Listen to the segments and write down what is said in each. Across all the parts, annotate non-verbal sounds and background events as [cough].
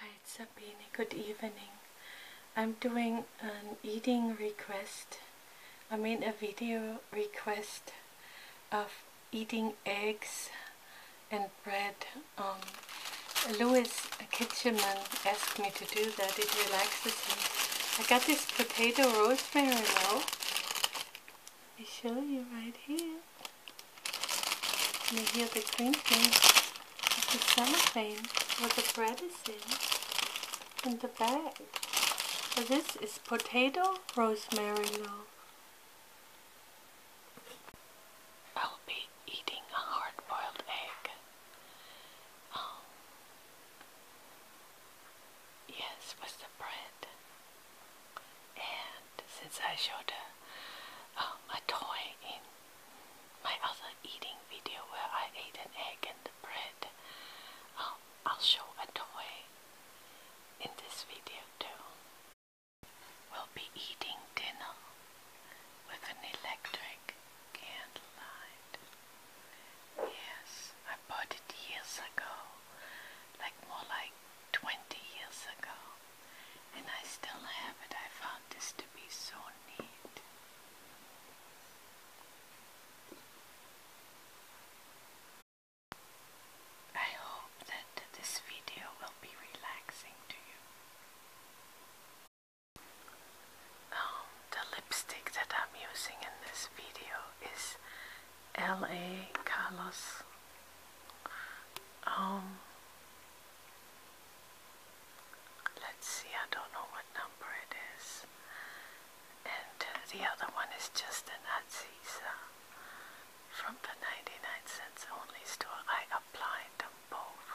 Hi, it's Sabine. Good evening. I'm doing an eating request. I mean a video request of eating eggs and bread. Um, Louis Kitcheman asked me to do that. It relaxes me. I got this potato rosemary now. I show you right here. Reveal the green thing of the cellophane where the bread is in, in the bag. So this is potato rosemary loaf. I'll be eating a hard-boiled egg. Oh. Yes, with the bread. And since I showed a, um, a toy in my other eating video where I ate an egg and bread. Um, I'll, show a toy in this video too. We'll be eating dinner with an electric candlelight. Yes, I bought it years ago, like more like 20 years ago and I still have it. I found this to be so neat. I hope that this video will be relaxing to you. Um, the lipstick that I'm using in this video is LA Carlos. Um, Let's see, I don't know what number it is. And the other one is just an Aziza from the 99 cents only store. I applied them both.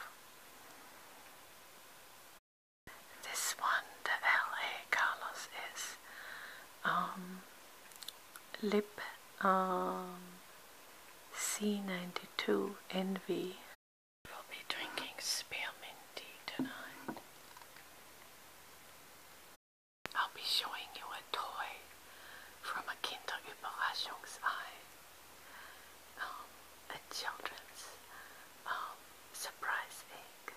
This one, the LA Carlos, is um, lip um, C92 Envy. We'll be drinking spearmint tea tonight. I'll be showing you a toy from a Kinderüberraschungsei, um, a children's um, surprise egg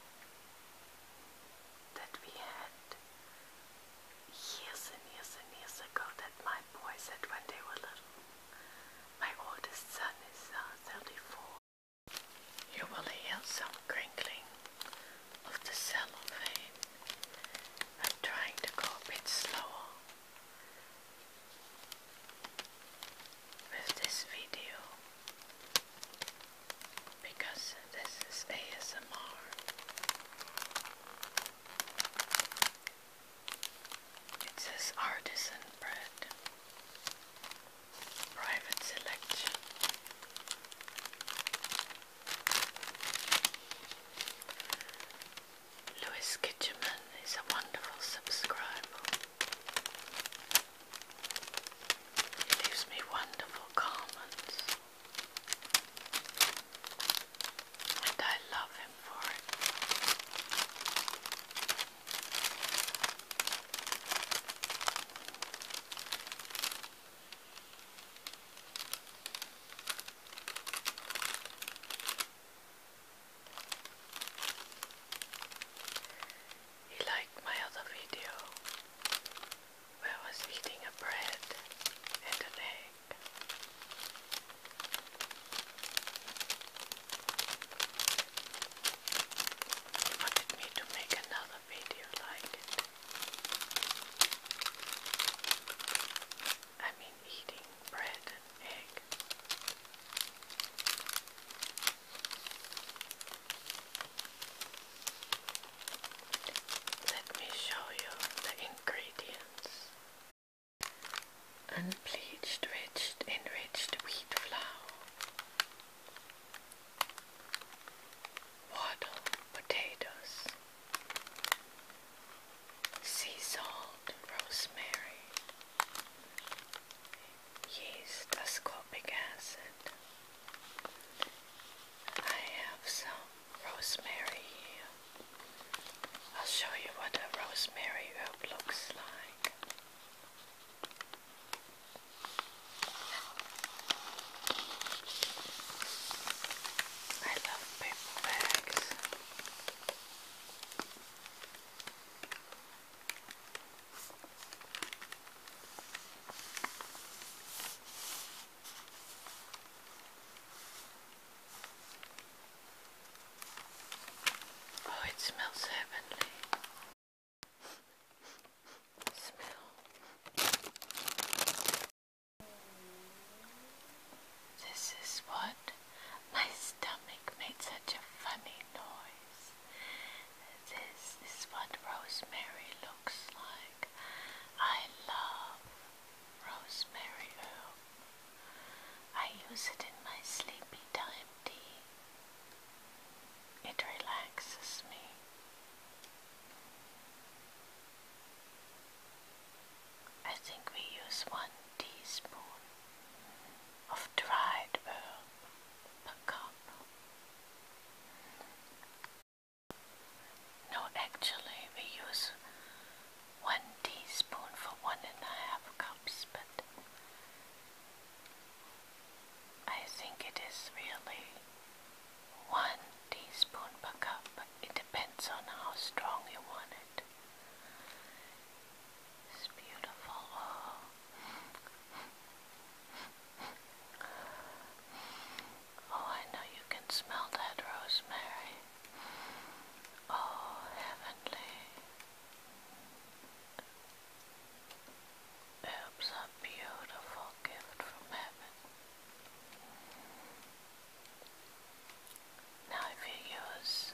that we had years and years and years ago that my boys said when they were little. My oldest son is uh, 34. You will hear some crinkling of the cellophane. I'm trying to go a bit slower with this video because this is ASMR. It says artisan bread, private selection. Louis Kitcheman is a wonderful subscriber. He leaves me wonderful comments. And I love him for it. He liked my other video where I was eating a bread and an egg. They wanted to make another video like it. I mean, eating bread and egg. Let me show you the ingredients. Unbleached, enriched, enriched wheat flour, wattle, potatoes, sea salt, rosemary, yeast, ascorbic acid. I have some rosemary here. I'll show you what a rosemary herb looks like. I love paper bags. Oh, it smells heavenly. Smell. This is what my stomach made such a funny noise. This is what rosemary looks like. I love rosemary oil. I use it in my sleepy time tea. It relaxes me. I think we use one teaspoon of dried herb per cup. No, actually, we use one teaspoon for one and a half cups, but I think it is really one teaspoon per cup. It depends on how strong you want it. It's beautiful. Oh, I know you can smell that rosemary. Oh, heavenly. Herbs are beautiful gift from heaven. Now if you use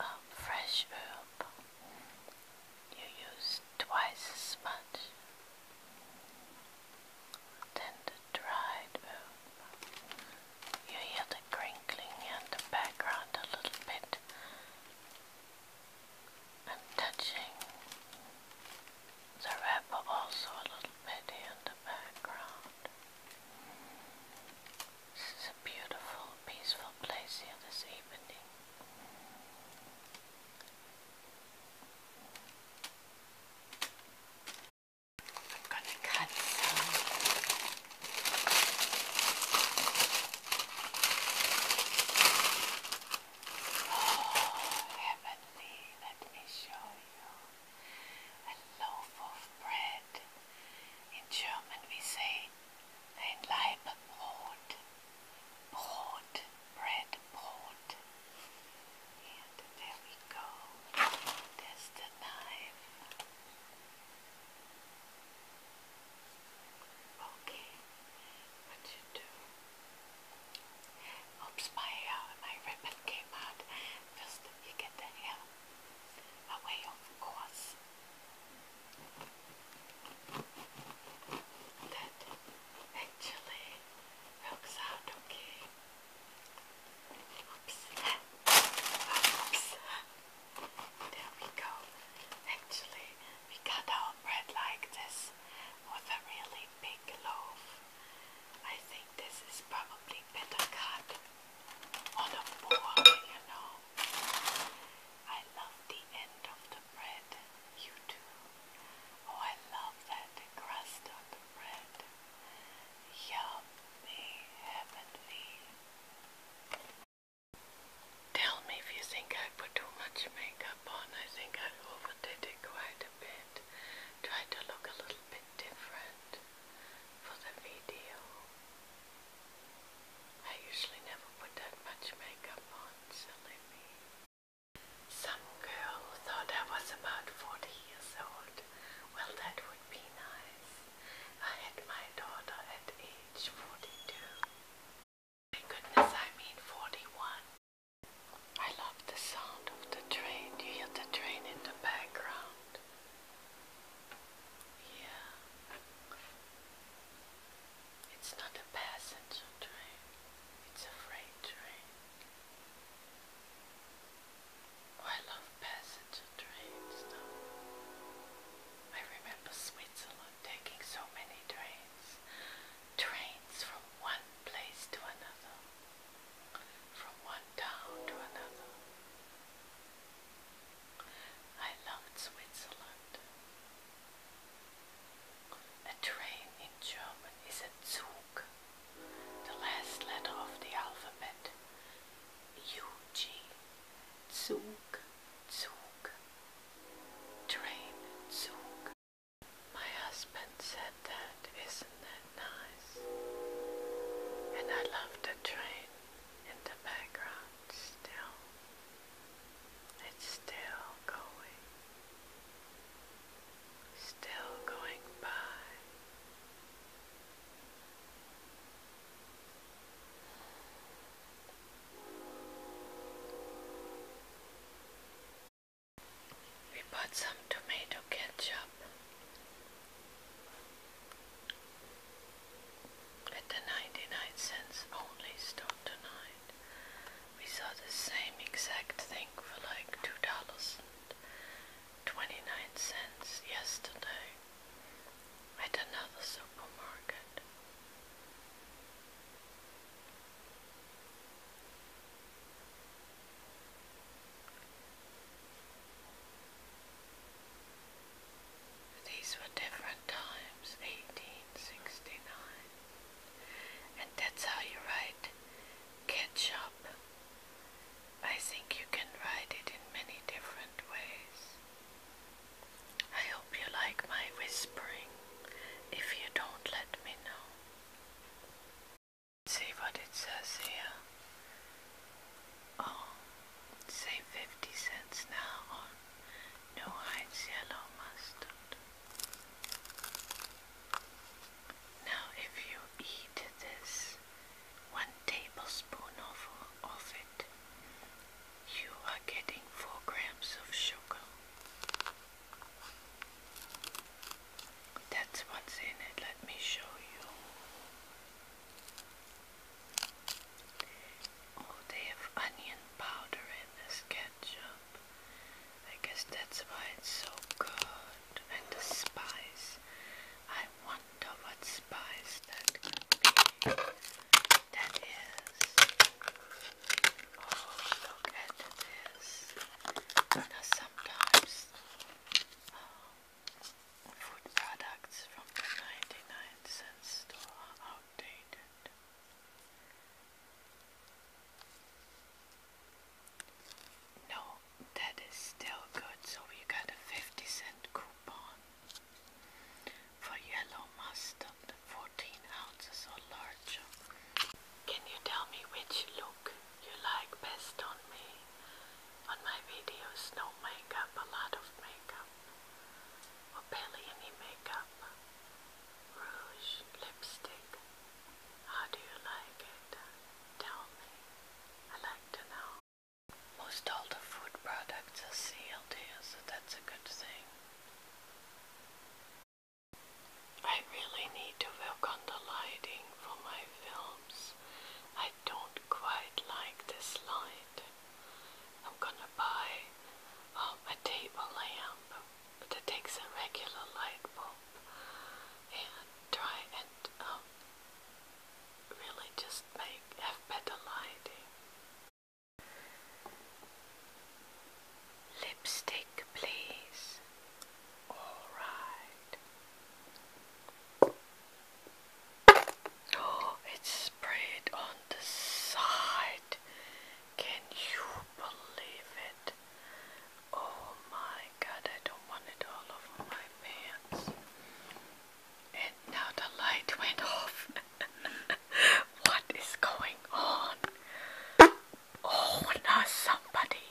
a um, fresh herb, you use twice as much. Then dried oat. You hear the crinkling in the background a little bit. I'm touching the wrapper also a little bit in the background. This is a beautiful, peaceful place here this evening. I'm gonna cut some. Oh, heavenly, let me show you. A loaf of bread. In German we say ein Leibbrot. Port, bread board. And there we go. There's the knife. Okay, what you do? Oops, my uh, my ribbon came out. First, you get the hair away, of course. That actually Oops. Oops. There we go. Actually, we cut our bread like this with a really big loaf. I think this is probably better cut on a board, you know. I love the end of the you too. Oh, I love that crust on the bread. Yummy, heavenly. Tell me if you think I put too much makeup on. I think I overdid it quite a bit. Try to look a little bit different for the video. I usually never put that much makeup on, silly me. Some girl thought I was about 40 years old. Well, that would be nice. I had my daughter at age 42. My goodness, I mean 41. I love the sound of the train. You hear the train in the background. Yeah. It's not a passenger train. It's a freight train. Oh, I love passenger trains though. I remember Switzerland taking so many trains. Trains from one place to another. From one town to another. I loved Switzerland. A train in German is a Zug, the last letter of the alphabet. UG, Zug, Zug, train, Zug. My husband said that, isn't that nice? And I love the train in the background still. It's still going still going by. We bought some tomato ketchup at the 99 cents only store tonight. We saw the same exact thing for like $2.29 yesterday at another supermarket. These were different times, eighteen sixty nine. And that's how you write ketchup. I think you can write it in many different ways. I hope you like my whispering. If you don't, let me know. see what it says here. Oh, save 50 cents now on New Heinz Yellow Mustard. Now, if you eat this one tablespoon of it, you are getting four grams of sugar. That's what's in it. Let me show you. Oh, they have onion powder in this ketchup. I guess that's why it's so good. And the spice. I wonder what spice that could That is. Oh, look at this. Now sometimes uh, food products from the 99 cent store outdated. No, that is still good. So we got a 50 cent coupon for yellow mustard, 14 ounces or larger. Can you tell me which look you like best on me? On my videos, no makeup, a lot of makeup, or barely any makeup rouge, lipstick. How do you like it? Tell me. I like to know. Most all the food products are sealed so that's a good thing. I really need to work on the lighting for my films. I don't quite like this light. I'm gonna buy um, a table lamp that takes a regular light bulb and try and um, really just make have better lighting. Lipstick, please. All right. Oh, it's sprayed on the side. Can you believe it? Oh my god, I don't want it all over my pants. And now the light went off. [laughs] what is going on? Oh, now somebody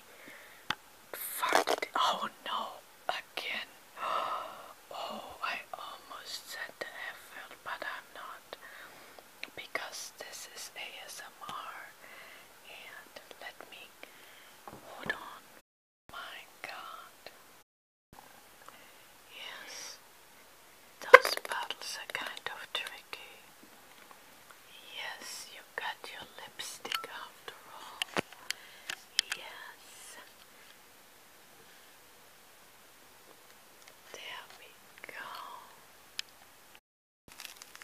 farted. Oh no, again. [gasps] Oh, I almost said that I felt, but I'm not because this is ASMR and let me hold on. My God. Yes, those bottles are kind of tricky. Yes, you got your lipstick after all. Yes. There we go.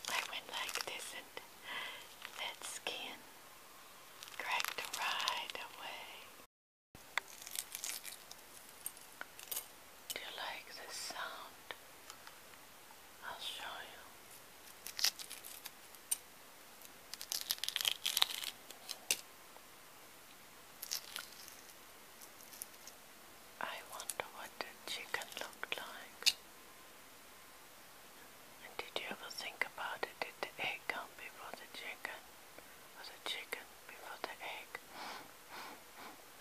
I went like this and that skin cracked right away. Do you like the sound? I'll show you. I wonder what the chicken looked like. And did you ever think about it? Did the egg come before the chicken? Or the chicken before the egg?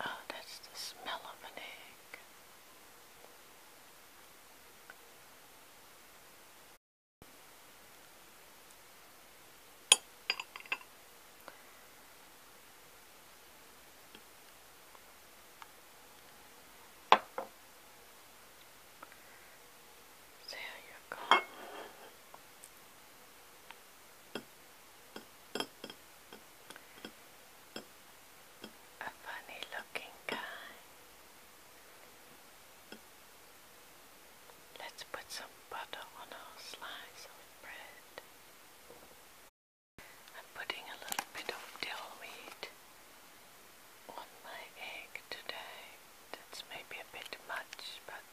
oh, that's the smell of an egg. There you go. A funny looking guy. Let's put some butter on our slice of bread. I'm putting a little bit of dill weed on my egg today. That's maybe a bit much, but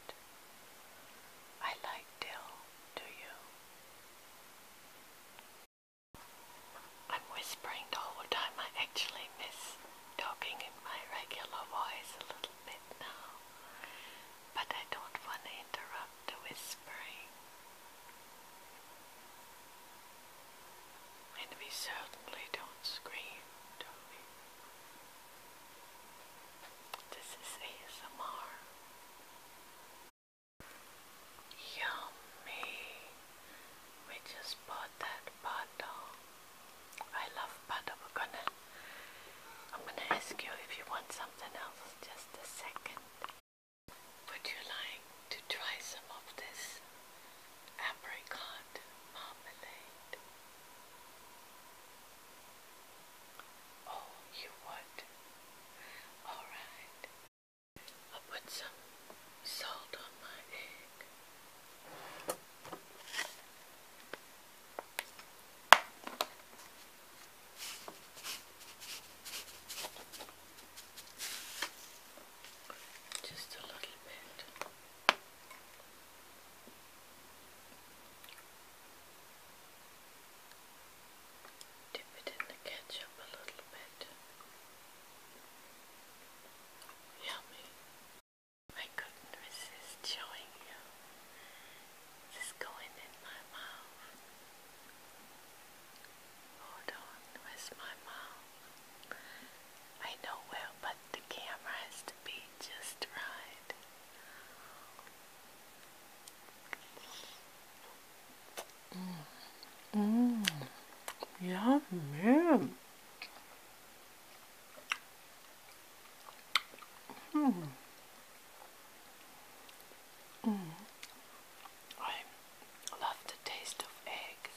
I like dill, do you? I'm whispering the whole time. I actually miss talking in my regular voice a little bit now, but I don't want to interrupt the whispering. And we certainly don't scream, This is ASMR. Yummy! We just bought that bottle. I love butter. We're gonna. I'm gonna ask you if you want something else. Just a second. Would you like to try some of this apricot marmalade? Oh, you would? Alright. i put some salt on my egg. Just a little bit. Dip it in the ketchup a little bit. Yummy. I couldn't resist showing you this going in my mouth. Hold on, where's my mouth? I know well, but the camera has to be just right. Mmm, mmm, yummy. Mmm. Mm. I love the taste of eggs.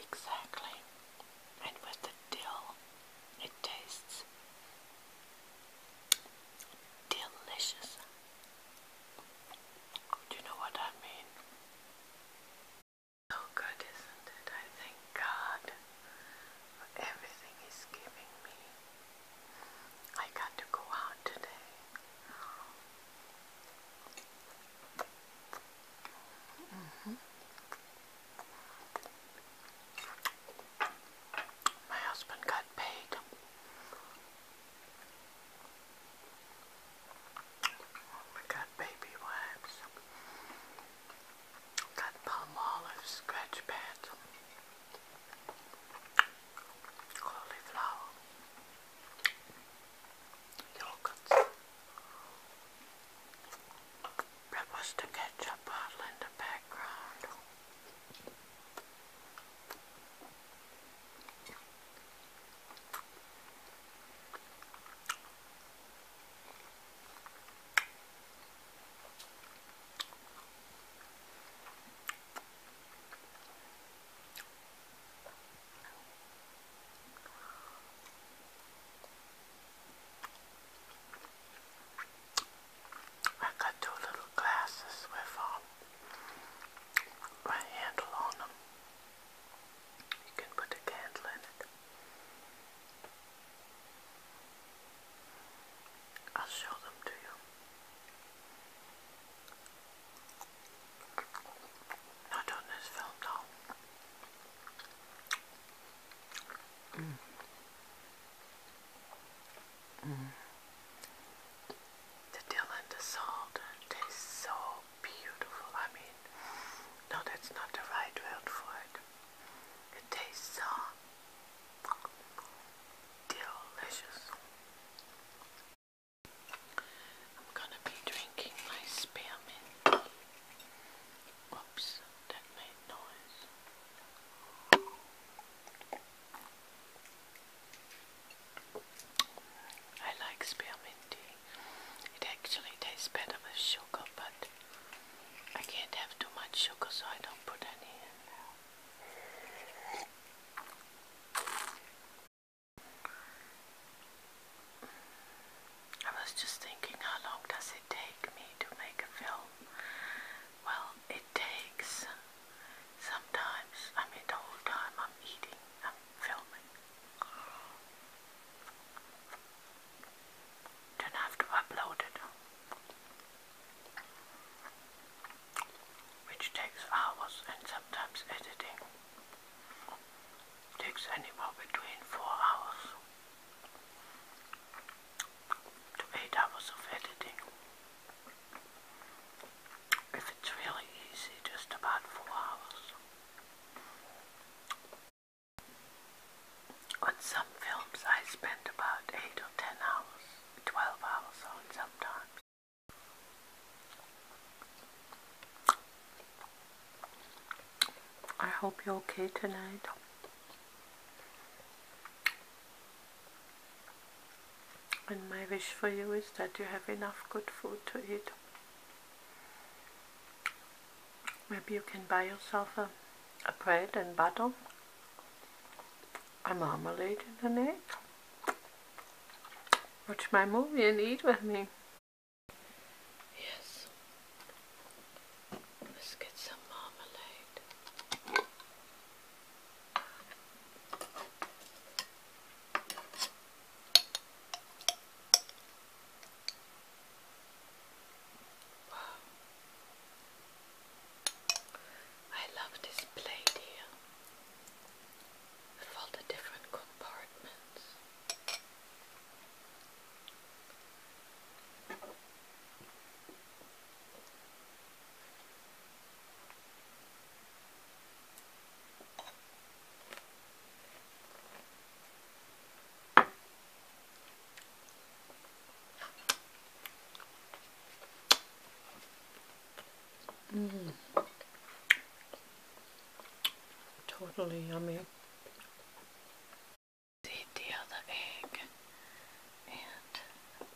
Exactly. And with the dill, it tastes delicious. Do you know what I mean? So good, isn't it? I thank God for everything He's giving me. I got to go out today. Mm-hmm. My husband got paid we got baby wipes. Got palm olive scratch pads. Cauliflower. Yogurts. That was ketchup bottle in the background. I got two little glasses with um, handle on them. You can put a candle in it. I'll show them to you. Not on this film, though. Mm. Mm. The dill and the salt taste so beautiful. I mean, no, that's not the right word for it. It tastes so delicious. I'm gonna be drinking my spearmint. Whoops, that made noise. I like spearmint tea. It actually tastes better with sugar, but I can't have too much sugar, so I don't put any in now. I was just thinking, how long does it take me to make a film? Well, it takes sometimes, I mean, the whole time I'm eating, i filming. Don't have to upload it. Which takes hours and sometimes editing. Takes anywhere between four hours to eight hours of editing if it's really easy, just about four hours. On some films I spend about 8 or 10 hours, 12 hours on sometimes. I hope you're okay tonight. And my wish for you is that you have enough good food to eat. Maybe you can buy yourself a, a bread and butter, a marmalade and an egg. Watch my movie and eat with me. Yes. Let's get some marmalade. I love this plate here with all the different compartments. Mm. Totally yummy. Eat the other egg. And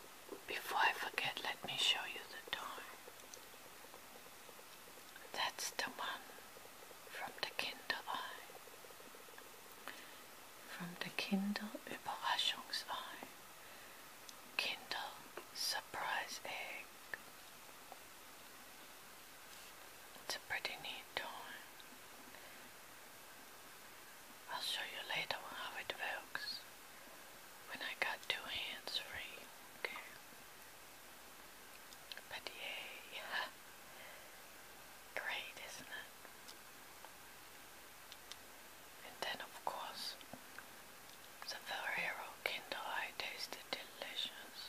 before I forget, let me show you the time. That's the one from der Kinderei. From der Kinderüberraschungsei. Kinder Surprise Egg. It's a pretty neat toy. I'll show you later how it works when I got two hands free. Okay. But yeah. great, isn't it? And then, of course, the Ferrero Kinder Eye tasted delicious.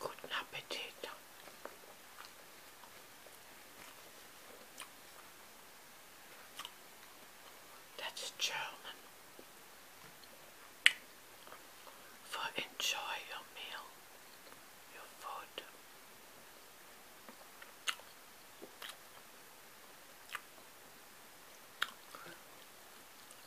Guten Appetit. That's German for enjoy your meal, your food.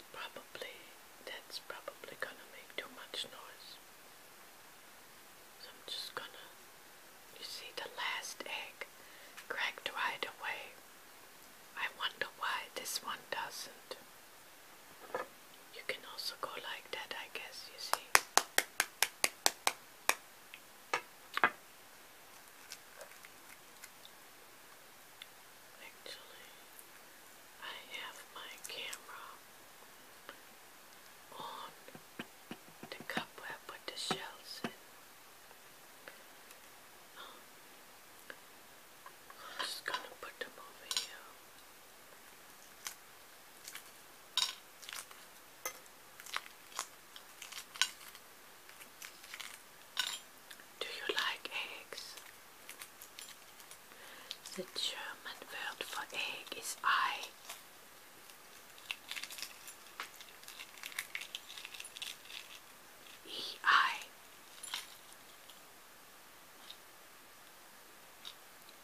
That probably that's probably gonna make too much noise. So I'm just gonna you see, the last egg cracked right away. I wonder why this one doesn't. You can also go like that, I guess, you see. Actually, I have my camera on the cup where put the shells um, I'm just gonna put them over here. Do you like eggs? The German word for egg is Ei. E I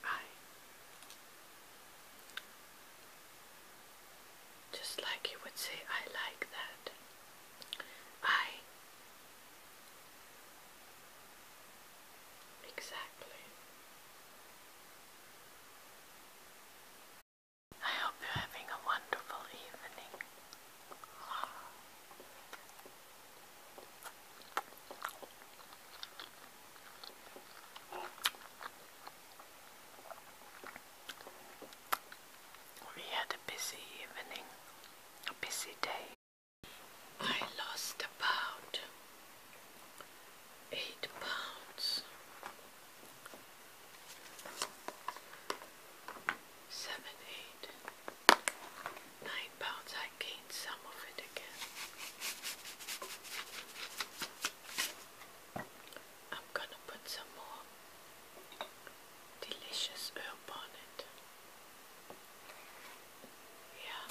I just like you would say I like that I exactly I hope you're having a wonderful evening. We had a busy evening, a busy day. I lost a pound eight pounds seven eight nine pounds I gained some of it again I'm gonna put some more delicious herb on it yeah